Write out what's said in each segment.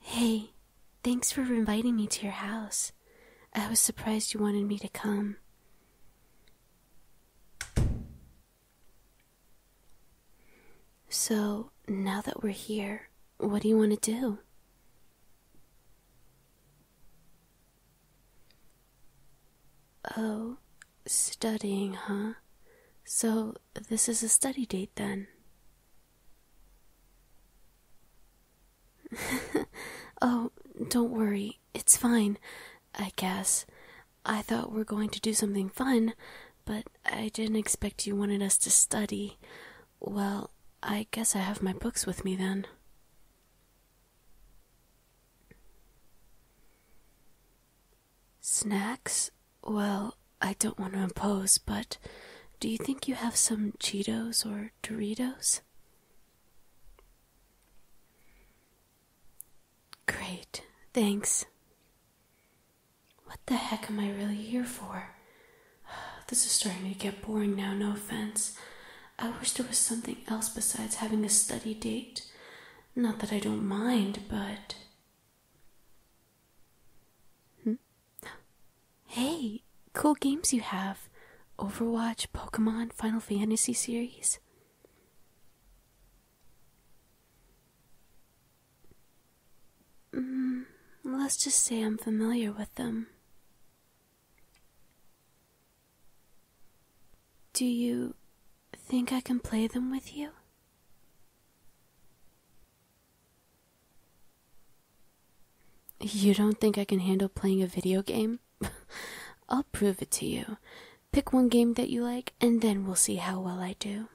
Hey, thanks for inviting me to your house. I was surprised you wanted me to come. So, now that we're here, what do you want to do? Oh, Studying, huh? So this is a study date then. oh, don't worry. It's fine, I guess. I thought we're going to do something fun, but I didn't expect you wanted us to study. Well, I guess I have my books with me then. Snacks? Well, I don't want to impose, but do you think you have some Cheetos or Doritos? Great, thanks. What the heck am I really here for? This is starting to get boring now, no offense. I wish there was something else besides having a study date. Not that I don't mind, but Hmm? Hey, cool games you have. Overwatch, Pokemon, Final Fantasy series. Hmm, let's just say I'm familiar with them. Do you think I can play them with you? You don't think I can handle playing a video game? I'll prove it to you. Pick one game that you like, and then we'll see how well I do.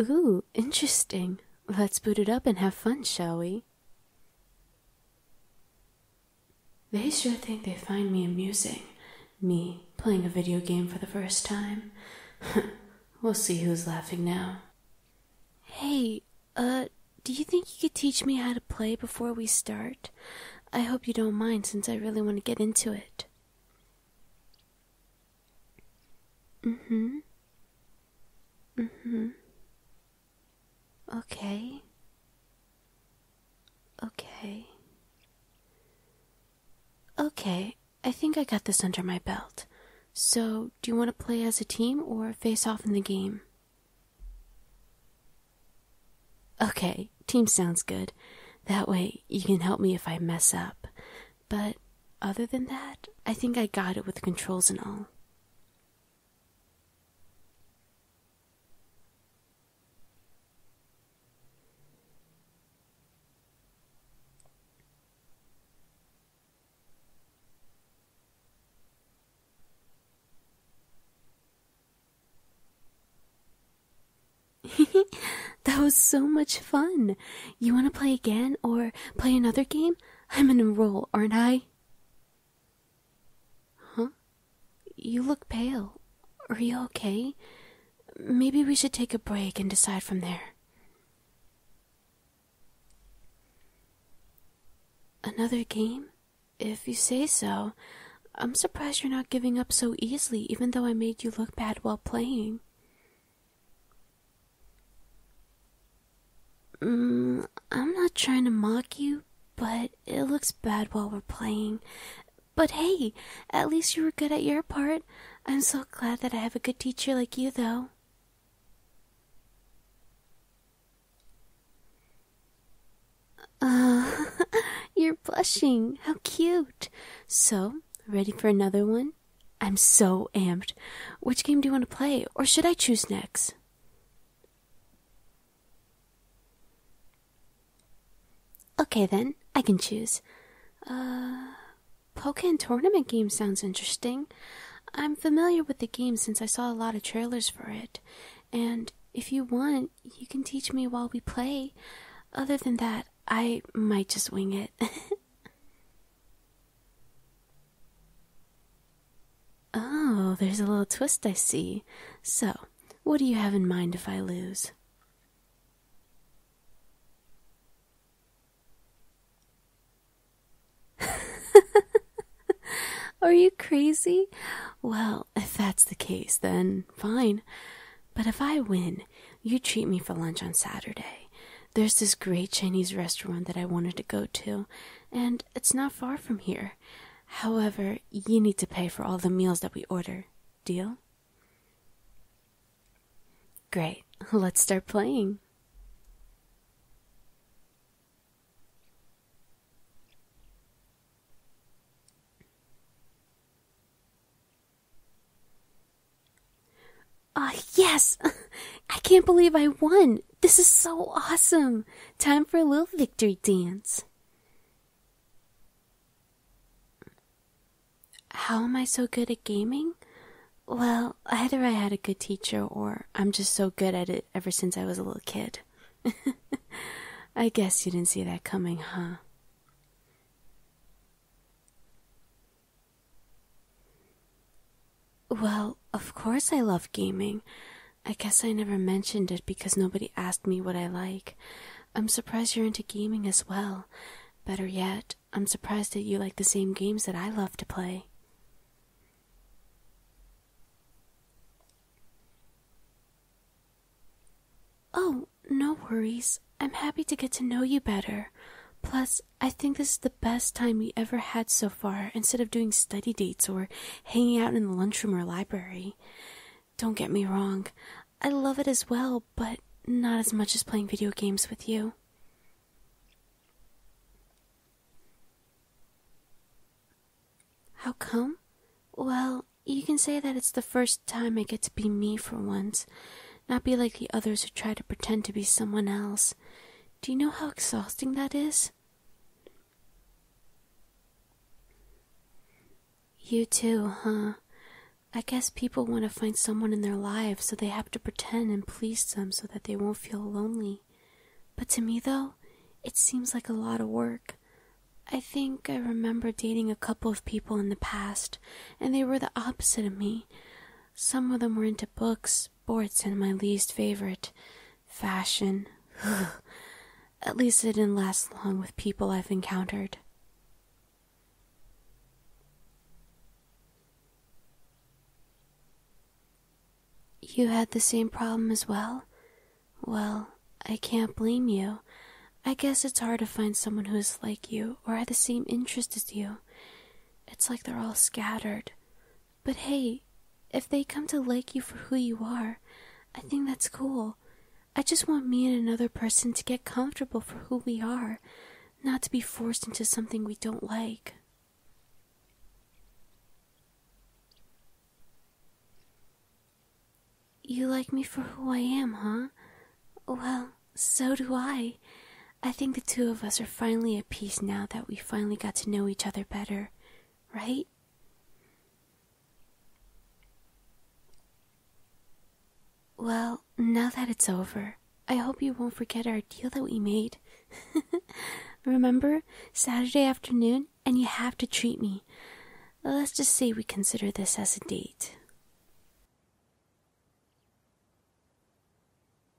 Ooh, interesting. Let's boot it up and have fun, shall we? They sure think they find me amusing, me playing a video game for the first time. we'll see who's laughing now. Hey, uh, do you think you could teach me how to play before we start? I hope you don't mind since I really want to get into it. Mm hmm. Mm hmm. Okay. Okay. Okay, I think I got this under my belt. So, do you want to play as a team or face off in the game? Okay, team sounds good. That way you can help me if I mess up. But other than that, I think I got it with controls and all. that was so much fun. You want to play again or play another game? I'm in a enroll, aren't I? Huh? You look pale. Are you okay? Maybe we should take a break and decide from there. Another game? If you say so. I'm surprised you're not giving up so easily, even though I made you look bad while playing. Mm, I'm not trying to mock you, but it looks bad while we're playing. But hey, at least you were good at your part. I'm so glad that I have a good teacher like you, though. Uh, you're blushing. How cute. So, ready for another one? I'm so amped. Which game do you want to play, or should I choose next? Okay, then, I can choose. Uh, poker tournament game sounds interesting. I'm familiar with the game since I saw a lot of trailers for it, and if you want, you can teach me while we play. Other than that, I might just wing it. Oh, there's a little twist I see. So, what do you have in mind if I lose? Are you crazy? Well, if that's the case, then fine. But if I win, you treat me for lunch on Saturday. There's this great Chinese restaurant that I wanted to go to, and it's not far from here. However, you need to pay for all the meals that we order. Deal? Great. Let's start playing. Ah, yes! I can't believe I won! This is so awesome! Time for a little victory dance. How am I so good at gaming? Well, either I had a good teacher or I'm just so good at it ever since I was a little kid. I guess you didn't see that coming, huh? Well, of course I love gaming. I guess I never mentioned it because nobody asked me what I like. I'm surprised you're into gaming as well. Better yet, I'm surprised that you like the same games that I love to play. Oh, no worries. I'm happy to get to know you better. Plus, I think this is the best time we ever had so far instead of doing study dates or hanging out in the lunchroom or library. Don't get me wrong, I love it as well, but not as much as playing video games with you. How come? Well, you can say that it's the first time I get to be me for once, not be like the others who try to pretend to be someone else. Do you know how exhausting that is? You too, huh? I guess people want to find someone in their lives, so they have to pretend and please them so that they won't feel lonely. But to me, though, it seems like a lot of work. I think I remember dating a couple of people in the past, and they were the opposite of me. Some of them were into books, sports, and my least favorite fashion. At least it didn't last long with people I've encountered. You had the same problem as well? Well, I can't blame you. I guess it's hard to find someone who is like you or has the same interest as you. It's like they're all scattered. But hey, if they come to like you for who you are, I think that's cool. I just want me and another person to get comfortable for who we are, not to be forced into something we don't like. You like me for who I am, huh? Well, so do I. I think the two of us are finally at peace now that we finally got to know each other better right? Well, now that it's over, I hope you won't forget our deal that we made. Remember, Saturday afternoon, and you have to treat me. Let's just say we consider this as a date.